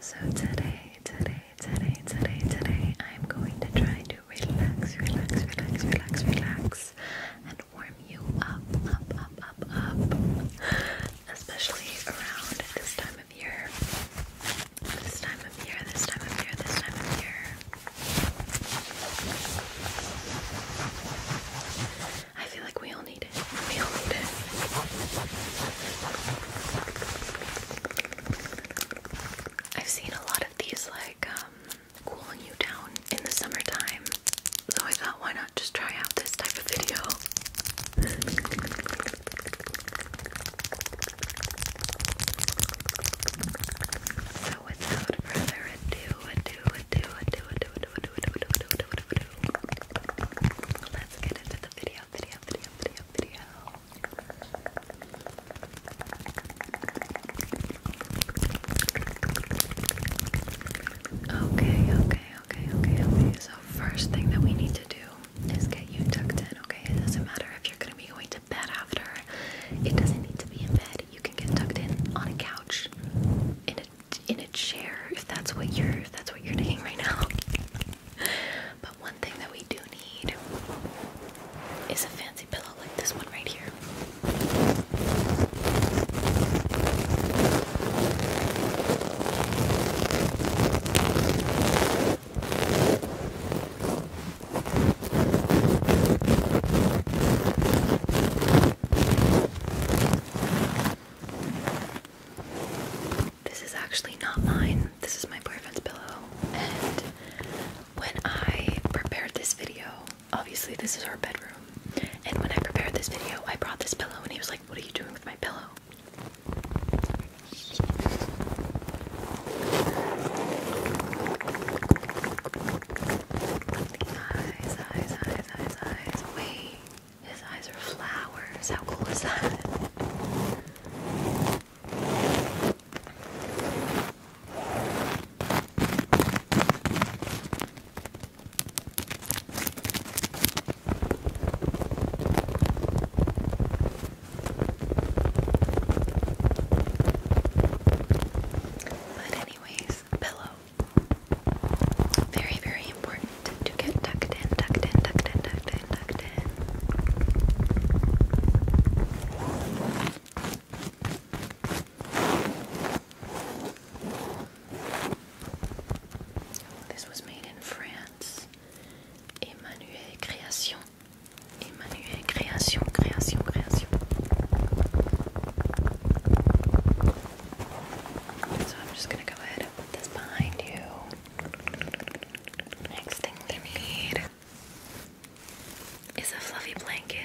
So today, today, today, today, today, I'm going to try to relax, relax, relax, relax, relax, and warm you up, up, up, up, up, especially around this time of year. This time of year, this time of year, this time of year. I feel like we all I've seen a lot of these like cooling you down in the summertime. So I thought why not just try out this type of video. So without further ado, ado, ado, ado, ado, ado, ado, ado, ado, ado, ado, ado, ado, Let's get into the video, video, video, video, video. Okay, okay, okay, okay, okay. So first thing that we need to do is get you tucked in, okay? It doesn't matter if you're gonna be going to bed after. It doesn't need to be in bed. You can get tucked in on a couch in in a, chair if that's what you're if that's what you're doing right now. but one thing that we do need is a fancy pillow like this one right here. This is actually not mine. This is my boyfriend's pillow. And when I prepared this video, obviously this is our bedroom. And when I prepared this video, I brought this pillow and he was like, "What are you doing with my pillow?" His eyes are flowers. How cool is that? But anyways, pillow. Very, very important to get tucked in, tucked in, tucked in, tucked in, tucked in. Oh, this was made in France. Emmanuel Création. Emmanuel Création, Création, Création. So I'm just gonna go ahead and put this behind you. Next thing we need is a fluffy blanket.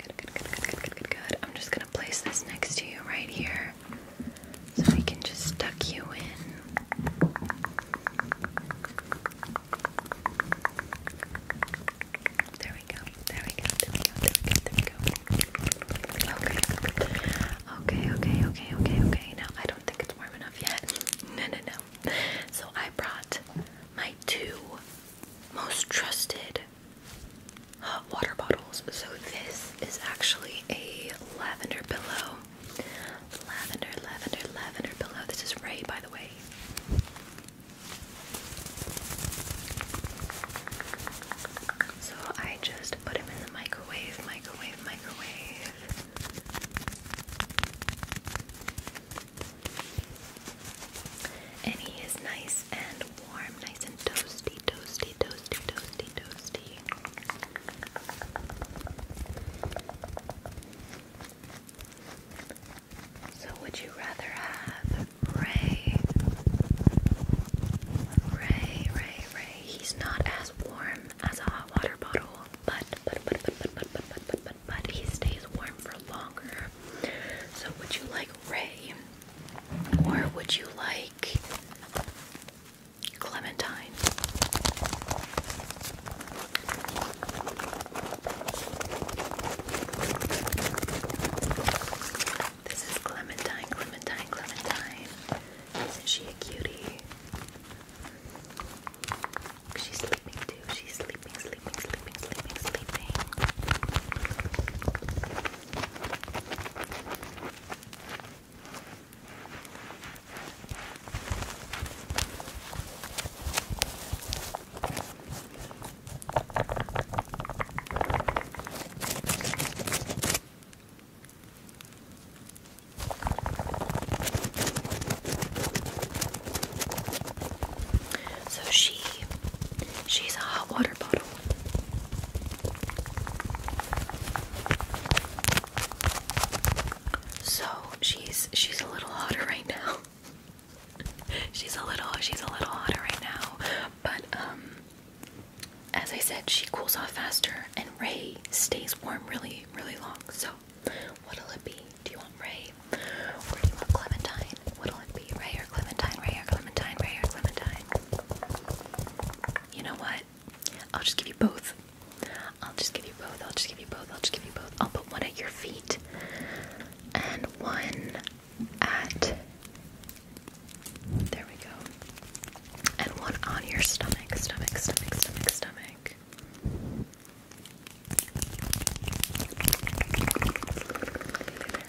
Good, good, good, good, good, good, good, I'm just gonna place this next to you right here. So we can just tuck you in. There we go. There we go. There we go. There we go. Okay. Okay, okay, okay, okay, okay. I don't think it's warm enough yet. No, no, no. So I brought my two most trusted hot water bottles. So this is actually a lavender pillow. Lavender, lavender, lavender pillow. This is Ray, by the way. So I just put him in the microwave, microwave, microwave. And he is nice and warm, nice and toasty, toasty, toasty, toasty, toasty. So, would you rather have Ray? Ray, Ray, Ray. He's not as warm as a hot water bottle, but but but but but but but but but he stays warm for longer. So, would you like Ray? Or would you like clementine? This is Clementine, Clementine, Clementine. Isn't she a cutie? She's sleeping too. She's sleeping, sleeping, sleeping, sleeping, sleeping. So she she's a hot water bottle. So she's she's a little hotter right now. she's a little she's a little hotter right now. But um as I said, she cools off faster and Ray stays warm really, really long. So what'll it be? Do you want Ray? Or do you want Clementine? What'll it be? be Ray or Clementine, Ray or Clementine, Ray or Clementine. You know what? I'll just give you both. I'll just give you both. I'll just give you both. I'll just give you both. I'll put one at your feet and one at. There we go. And one on your stomach, stomach, stomach, stomach, stomach.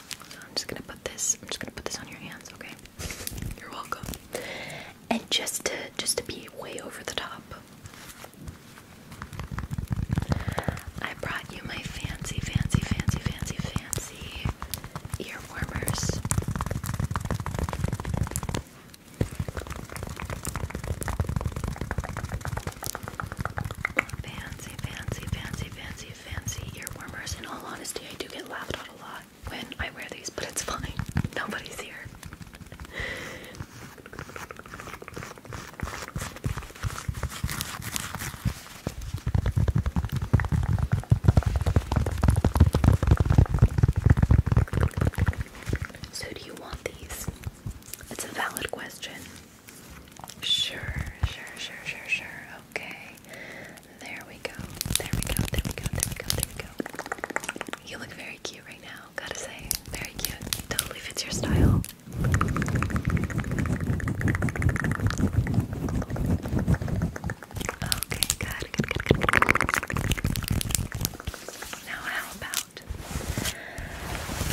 I'm just gonna put this. I'm just gonna put this on your hands, okay? You're welcome. And just to just to be way over the top, I brought you my fancy, fancy, fancy, fancy, fancy ear warmers. Fancy, fancy, fancy, fancy, fancy, ear warmers. In all honesty, I do get laughed at a lot when I wear these, but it's fine. Nobody's here. So, do you want these? It's a valid question. Sure, sure, sure, sure, sure. Okay. There we go. There we go. There we go. There we go. There we go. You look very cute right now. Gotta say, very cute. Totally fits your style. Okay, good, good, good, good, good. Now, how about,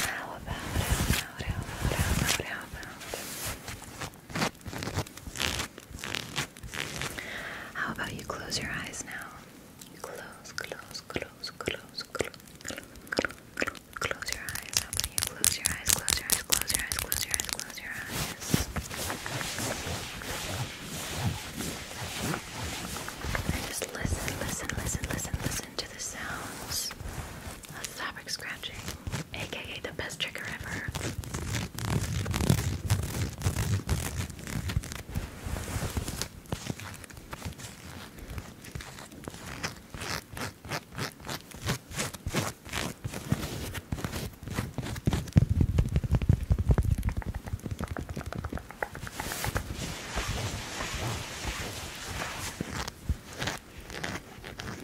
how about, how about, how about, how about, how about, how about you close your eyes now? Close, close, close, close, close, close, close, close your eyes. How about you close your eyes, close your eyes, close your eyes, close your eyes, close your eyes. And just listen, listen, listen, listen, listen to the sounds. That's fabric scratching, aka the best trigger ever. It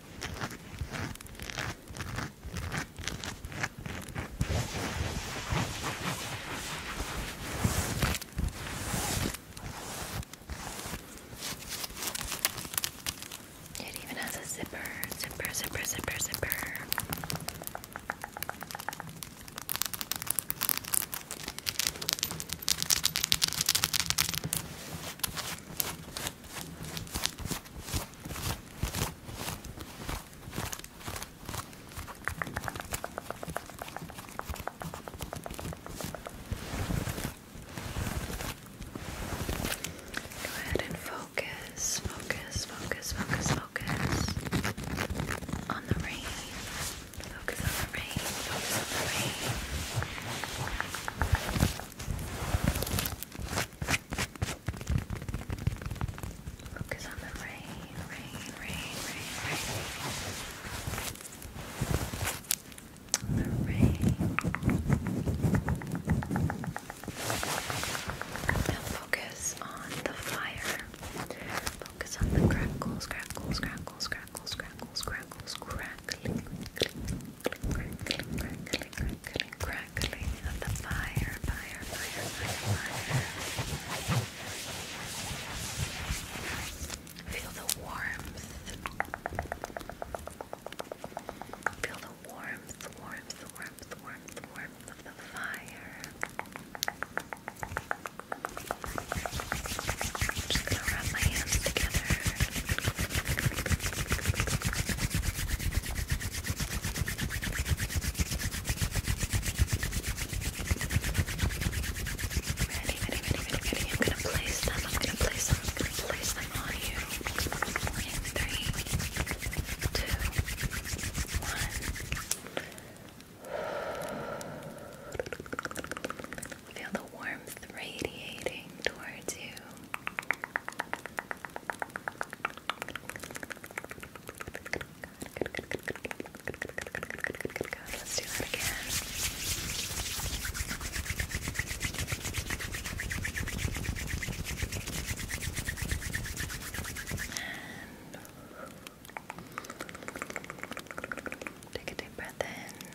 even has a zipper, zipper, zipper, zipper, zipper. Go ahead and focus, focus, focus, focus, focus on the rain. Focus on the rain, focus on the rain. Focus on the rain, rain, rain, rain, rain. The rain. Now focus on the fire. Focus on the crackles, crackles, crackles, crackles, crackles, crackles, crackling, crackling, crackling, Feel the warmth. Feel the warmth, warmth, warmth, warmth, warmth of the fire. I'm just gonna rub my hands together. Ready, ready, ready, ready, ready. I'm gonna place them, I'm gonna place them, I'm gonna place them on you. In three, two, one. Feel the warmth radiating towards you. Let's do that again. take a deep breath in.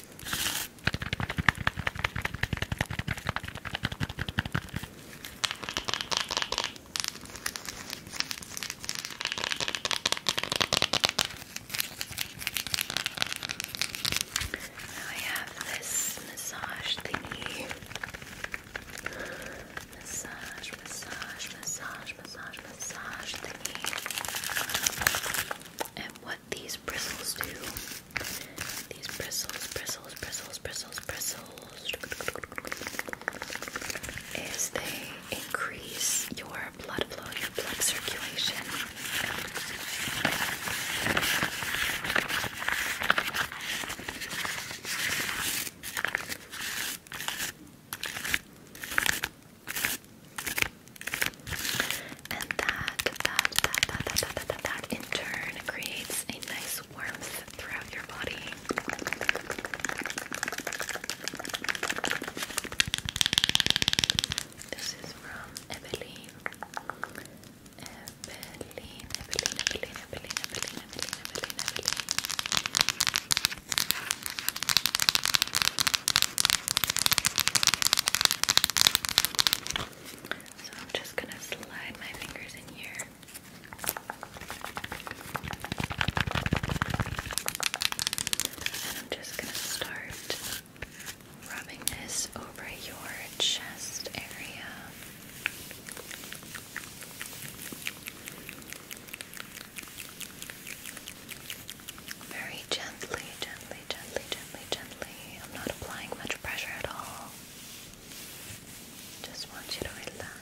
Now I have this massage thingy. Massage, massage, massage, massage, massage, And what these bristles do. These bristles, bristles, bristles, bristles, bristles is they increase your blood flow, your blood circulation. And that, that, that, that, that, that, that, in turn creates a nice warmth throughout your body. This is from Eveline. Eveline, Eveline, Eveline, Eveline, Eveline, Eveline, Eveline, Eveline. So I'm just going to slide my fingers in here. And I'm just going to start rubbing this over your chest area. Very gently, gently, gently, gently, gently. I'm not applying much pressure at all. Just want you to relax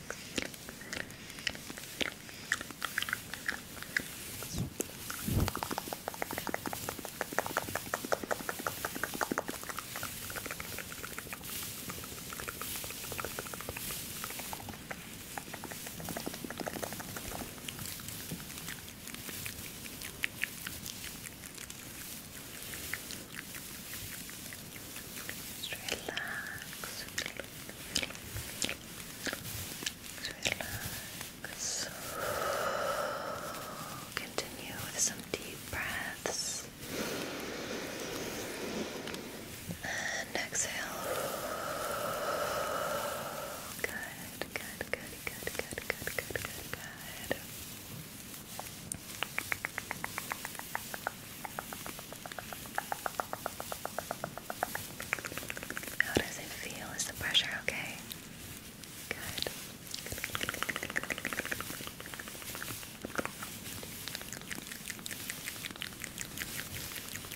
relax. Relax. Continue with some deep breaths. And exhale. Good. How does it feel? Is the pressure okay? Good.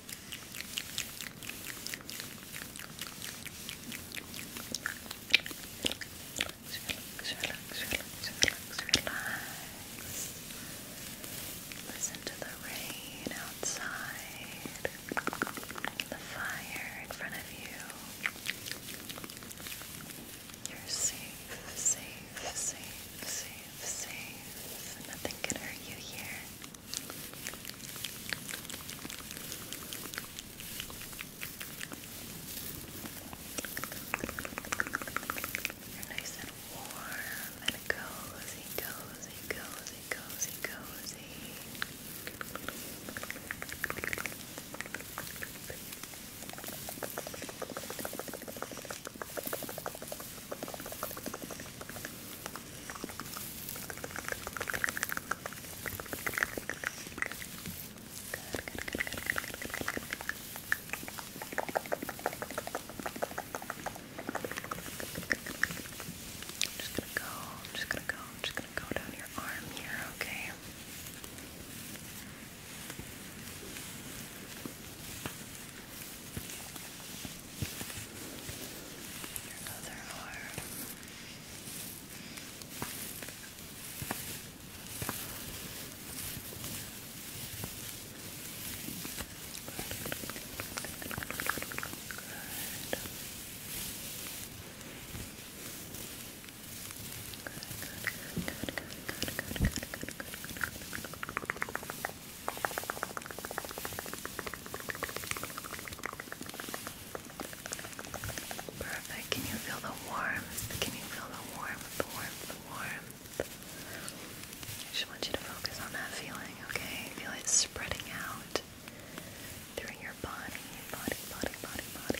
Relax, relax, relax, relax, relax. Listen to the rain outside, the fire in front of you. You're safe, safe, safe, safe, safe. Nothing can hurt you here. They're nice and warm and cozy, cozy, cozy, cozy, cozy. All just gonna go, I'm just gonna go, I'm just gonna go down your arm here, okay? Okay. Your other arm. Good. Perfect. Can you feel the warmth? Can you feel the warmth, the warmth, the warmth? I just want you to focus on that feeling, okay? Feel it spreading out through your body, body, body, body, body.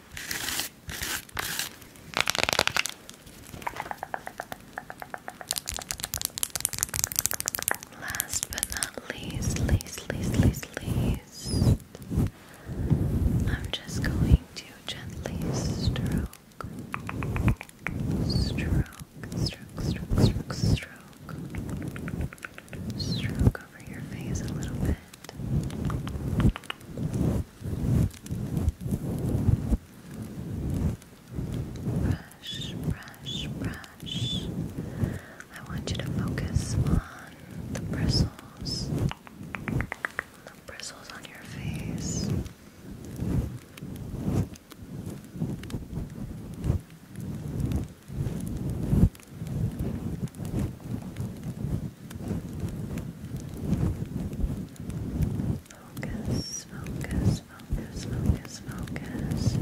Last but not least, least, least, least, least, I'm just going to gently stroke, stroke, stroke, stroke, stroke, stroke, stroke over your face a little bit. Brush, brush, brush. I want you to focus on the bristles, the bristles on your face. Focus, focus, focus, focus, focus.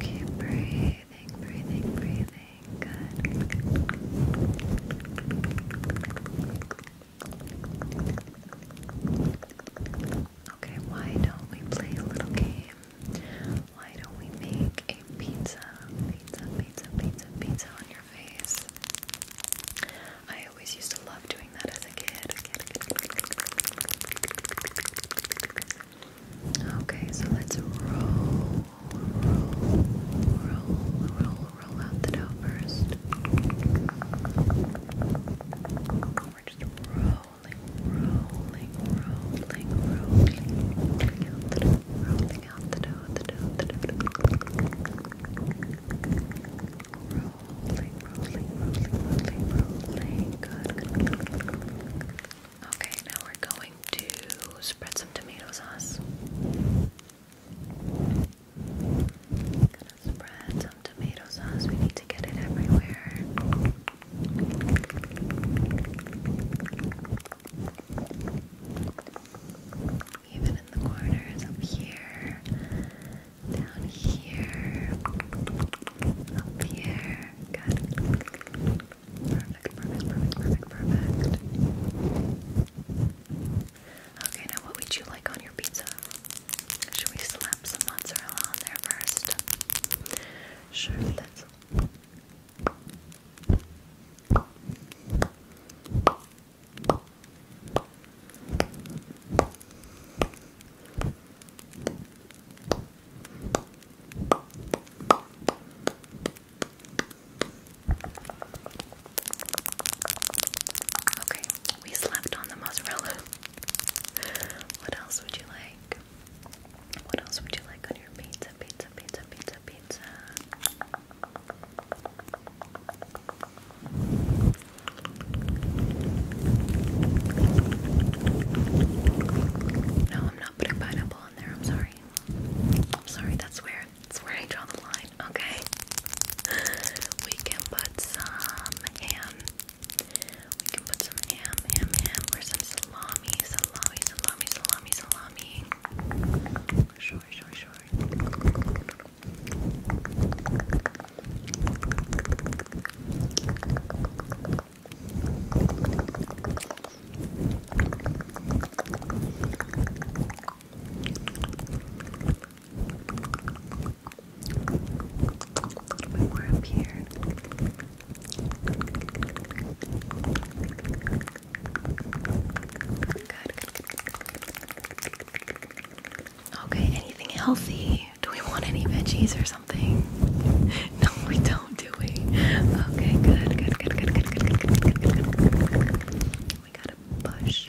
Keep breathing, breathing, breathing. Good. Okay, why don't we play a little game? Why don't we make a pizza, pizza, pizza, pizza, pizza on your face? I always used to love doing that as a kid. Okay, so let's roll, roll, roll, roll, roll out the dough first. Okay, now we're going to spread some tomato sauce. Spread some tomato sauce. We need to get it everywhere. Even in the corners, up here, down here, up here. Good. Perfect, perfect, perfect, perfect, Okay, now what would you like on your pizza? Should we slap some mozzarella on there first? Sure, Okay, we slept on the mozzarella. What else would you like? What else would you like on your pizza? Pizza, pizza, pizza, pizza. No, I'm not putting pineapple on there. I'm sorry. I'm sorry. That's where. That's where I draw the line. Okay we can put some ham. We can put some ham, ham, ham, or some salami, salami, salami, salami, salami. Sure, sure, sure. Okay, anything healthy? Do we want any veggies or something? No, we don't, do we? Okay, good, good, good, good, good, good, good, good, good, We gotta push,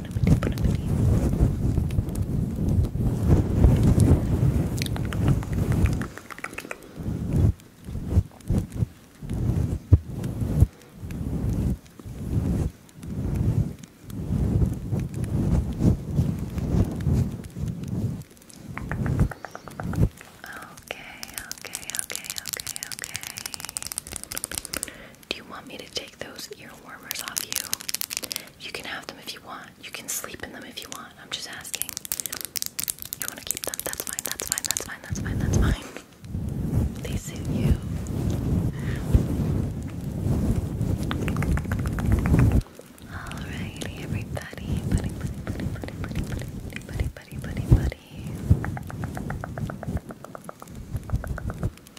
Okay, okay, okay, okay, okay. Do you want me to take those ear warmers off you? You can have them if you want. You can sleep in them if you want. I'm just asking. You want to keep them? That's fine. That's fine. That's fine. That's fine. That's fine. They suit you. Alrighty, everybody. Buddy, buddy, buddy, buddy, buddy, buddy, buddy, buddy, buddy, buddy,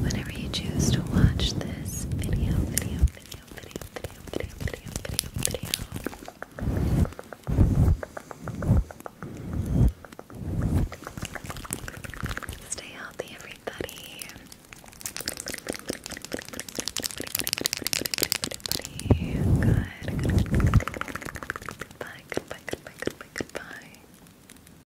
whenever you choose to watch this video, video, video, video, video, video, video, video, video. Stay healthy, everybody. Goodbye, goodbye, goodbye, goodbye, goodbye.